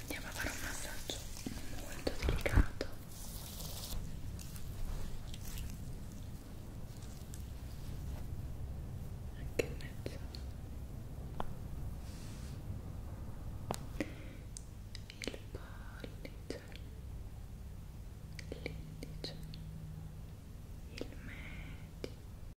andiamo a fare un massaggio molto delicato anche in mezzo il pollice l'indice il medio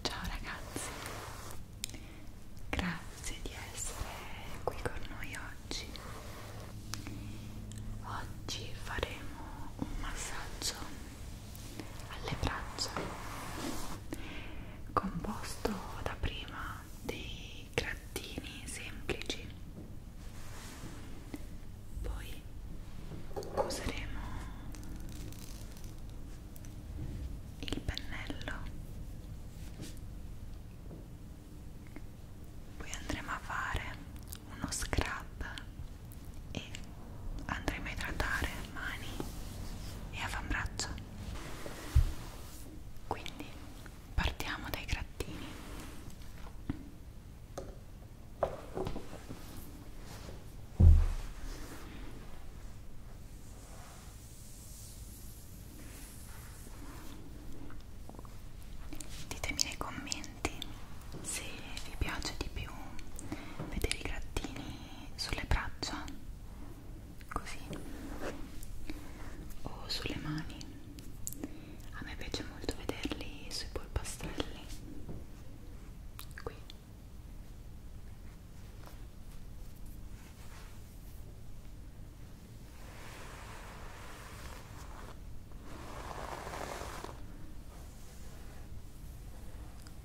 Ciao ragazzi, grazie di essere qui con noi oggi. Oggi faremo un massaggio alle braccia composto da prima dei dei grattini semplici poi useremo il pennello poi andremo a fare uno scrub e andremo a idratare mani e avambraccio quindi partiamo dai grattini ditemi nei commenti se vi piace di più vedere i grattini sulle braccia così o sulle mani a me piace molto vederli sui polpastrelli qui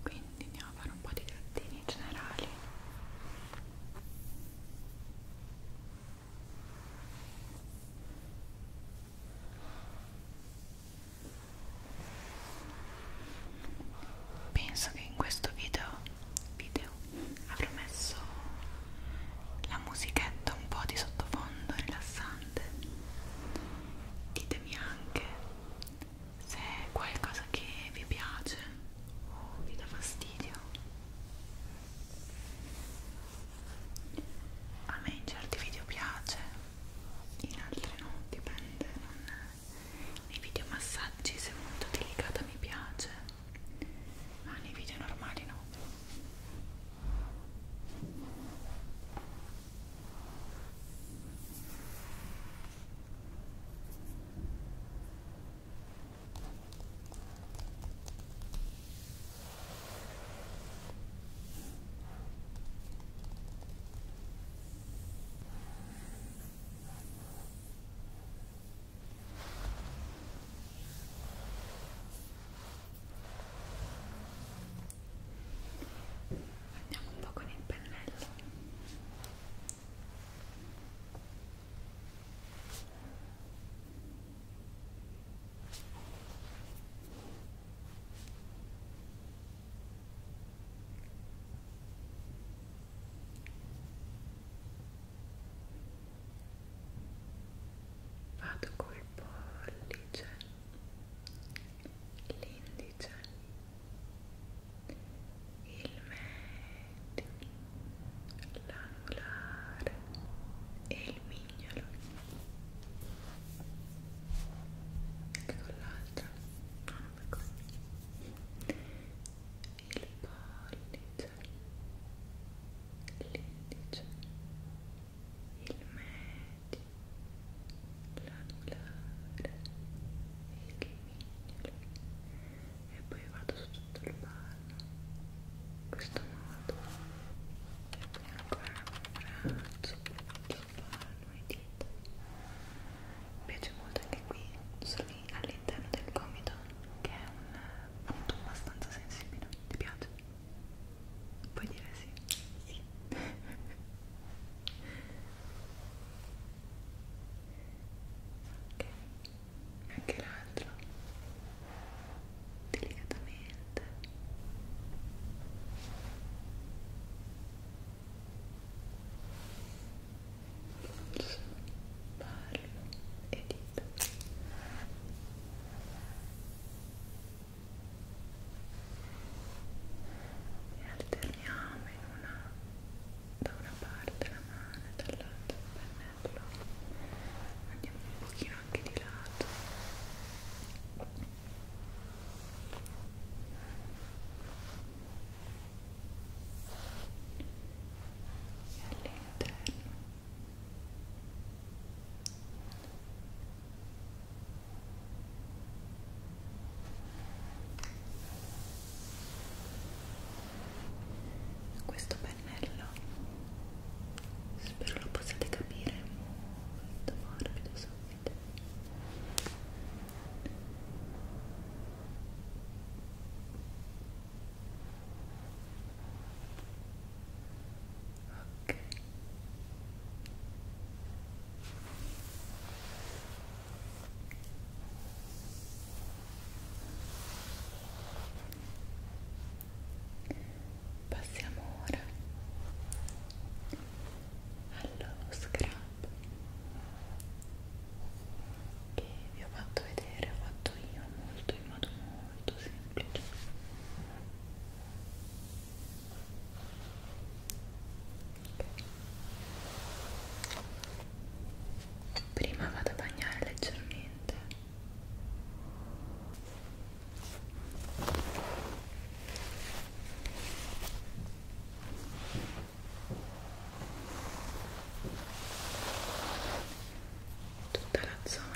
quindi andiamo a fare un po' di grattini generali Penso che in questo video, video avrò messo la musichetta un po' di sottofondo rilassante. Ditemi anche se è qualcosa che vi piace o vi dà fastidio a me in certi video piace in altri no, dipende non... nei video massaggi se è molto delicata mi piace ma nei video normali no Andiamo un po' con il pennello. Vado col pollice, l'indice, il medio, l'anulare e il mignolo anche con l'altra no, non per così il pollice l'indice il medio l'anulare e il e poi vado su tutto il palmo in questo modo e poi ancora un braccio sul palmo e dita mi piace molto anche qui all'interno del gomito che è un punto abbastanza sensibile ti piace? puoi dire sì? sì ok anche l'altro delicatamente pallo e dita e alterniamo in una da una parte la mano e dall'altra il pennello andiamo un pochino anche di lato e all'interno e questo pennello spero lo possiate capire molto morbido subito ok Passiamo ora allo scrub che vi ho fatto vedere, ho fatto io molto in modo molto semplice. Okay prima vado a bagnare leggermente tutta la zona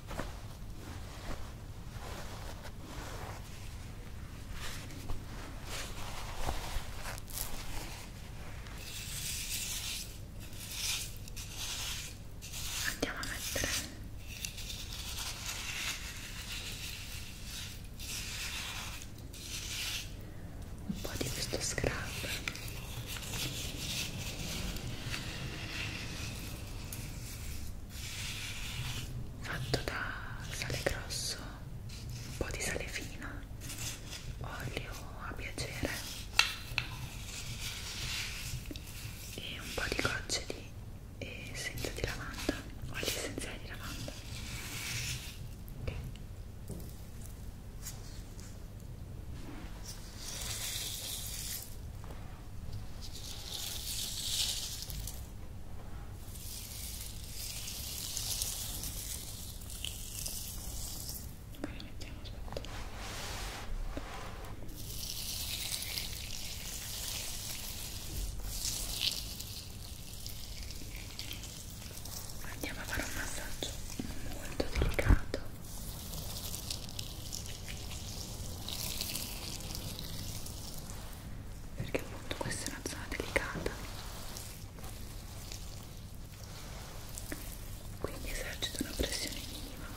Andiamo a mettere un po' di questo scrub fatto da sale grosso, un po' di sale fino, olio a piacere e un po' di gocce di essenza di lavanda, olio essenziale di lavanda. Okay. Poi la mettiamo sotto. Andiamo a fare un massaggio molto delicato perché appunto questa è una zona delicata quindi esercito una pressione minima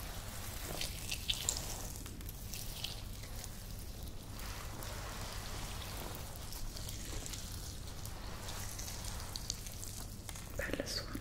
bello suono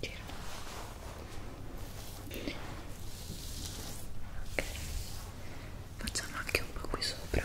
Gira. Ok, facciamo anche un po' qui sopra.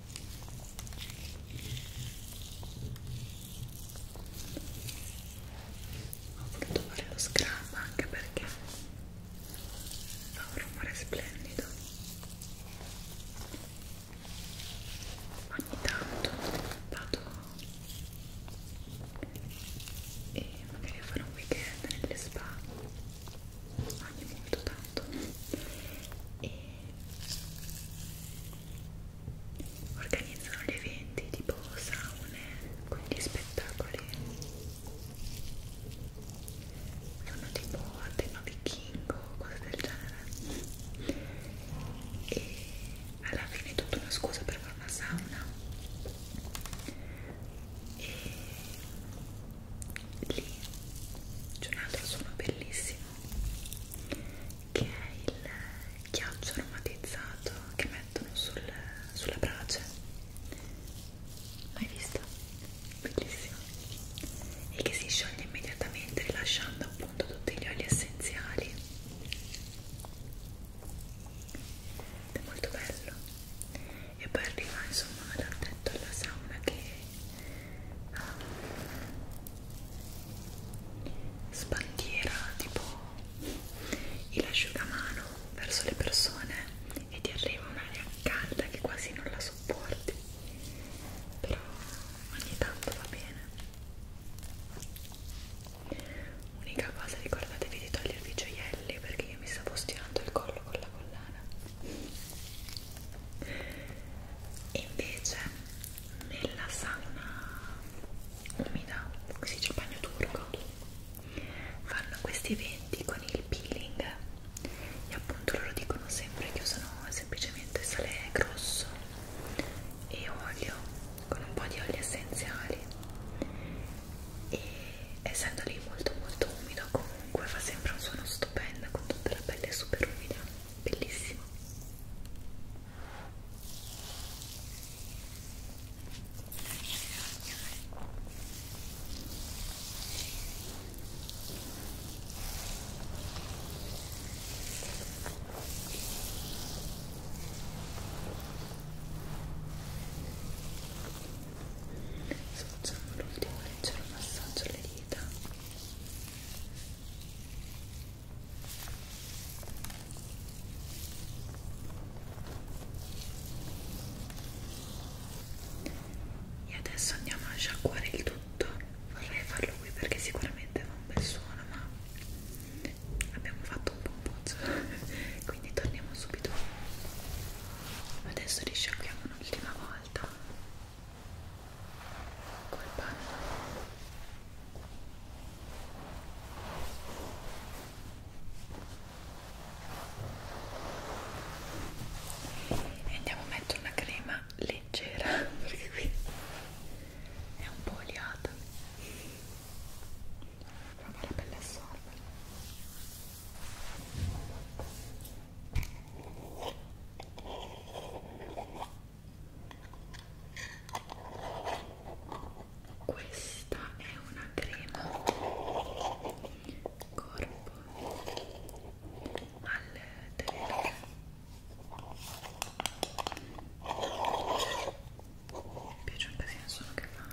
ho voluto fare lo scrub anche perché fa un rumore splendido ogni tanto vado e magari a fare un weekend nelle spa ogni molto tanto e organizzano gli eventi tipo saune con gli spettacoli fanno tipo a tema vichingo cose del genere e alla fine è tutta una scusa per fare una sauna e lì c'è un altro suono bellissimo che è il ghiaccio aromatizzato che mettono sul, sulla brace mai visto? bellissimo e che si scioglie immediatamente rilasciando appunto tutti gli oli essenziali è molto bello e poi arriva insomma dal tetto alla sauna che ha ah, sbandiera tipo il asciugamano verso le persone e ti arriva un'aria calda che quasi non la sopporti però ogni tanto va bene unica cosa ricordatevi di togliervi i gioielli perché io mi stavo stirando il collo con la collana invece nella sauna umida, si dice bagno turco, fanno questi eventi con il peeling e appunto loro dicono sempre che usano semplicemente sale grosso e olio con un po' di oli essenziali e essendo lì molto molto umido comunque fa sempre un suono stupendo con tutta la pelle super umida bellissimo Adesso facciamo l'ultimo leggero massaggio alle dita e adesso andiamo a sciacquare il tutto vorrei farlo qui perché sicuramente fa un bel suono ma abbiamo fatto un po' un pozzo quindi torniamo subito adesso risciacquiamo un'ultima volta col panno e andiamo a mettere una crema leggera perché qui è un po' oliata proprio la pelle assorbe questa è una crema corpo al terreno mi piace un casino solo che fa il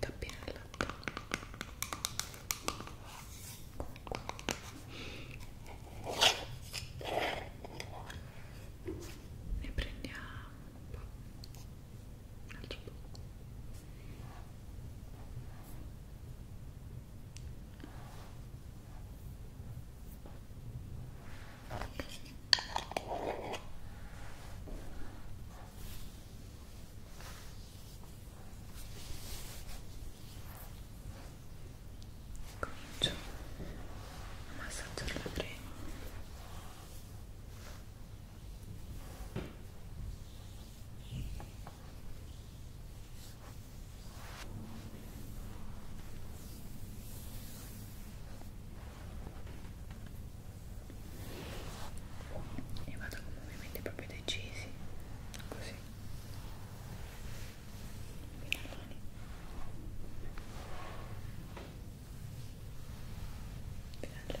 tappinello ne prendiamo un po', un altro po'. Ecco comincio a massaggiare la crema e vado con movimenti proprio decisi così fino alle mani fino alle mani e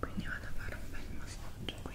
quindi vado a fare un bel massaggio qui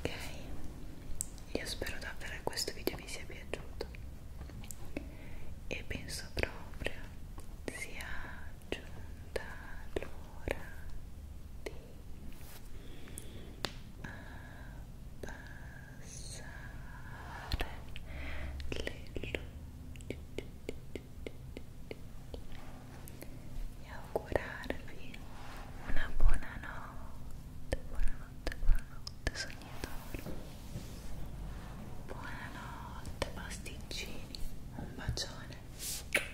Ok, io spero davvero che questo video vi sia piaciuto e penso proprio sia giunta l'ora di abbassare eh, passare le e augurarvi una buona notte, buonanotte, buonanotte sognatori buonanotte pasticcini, un bacione che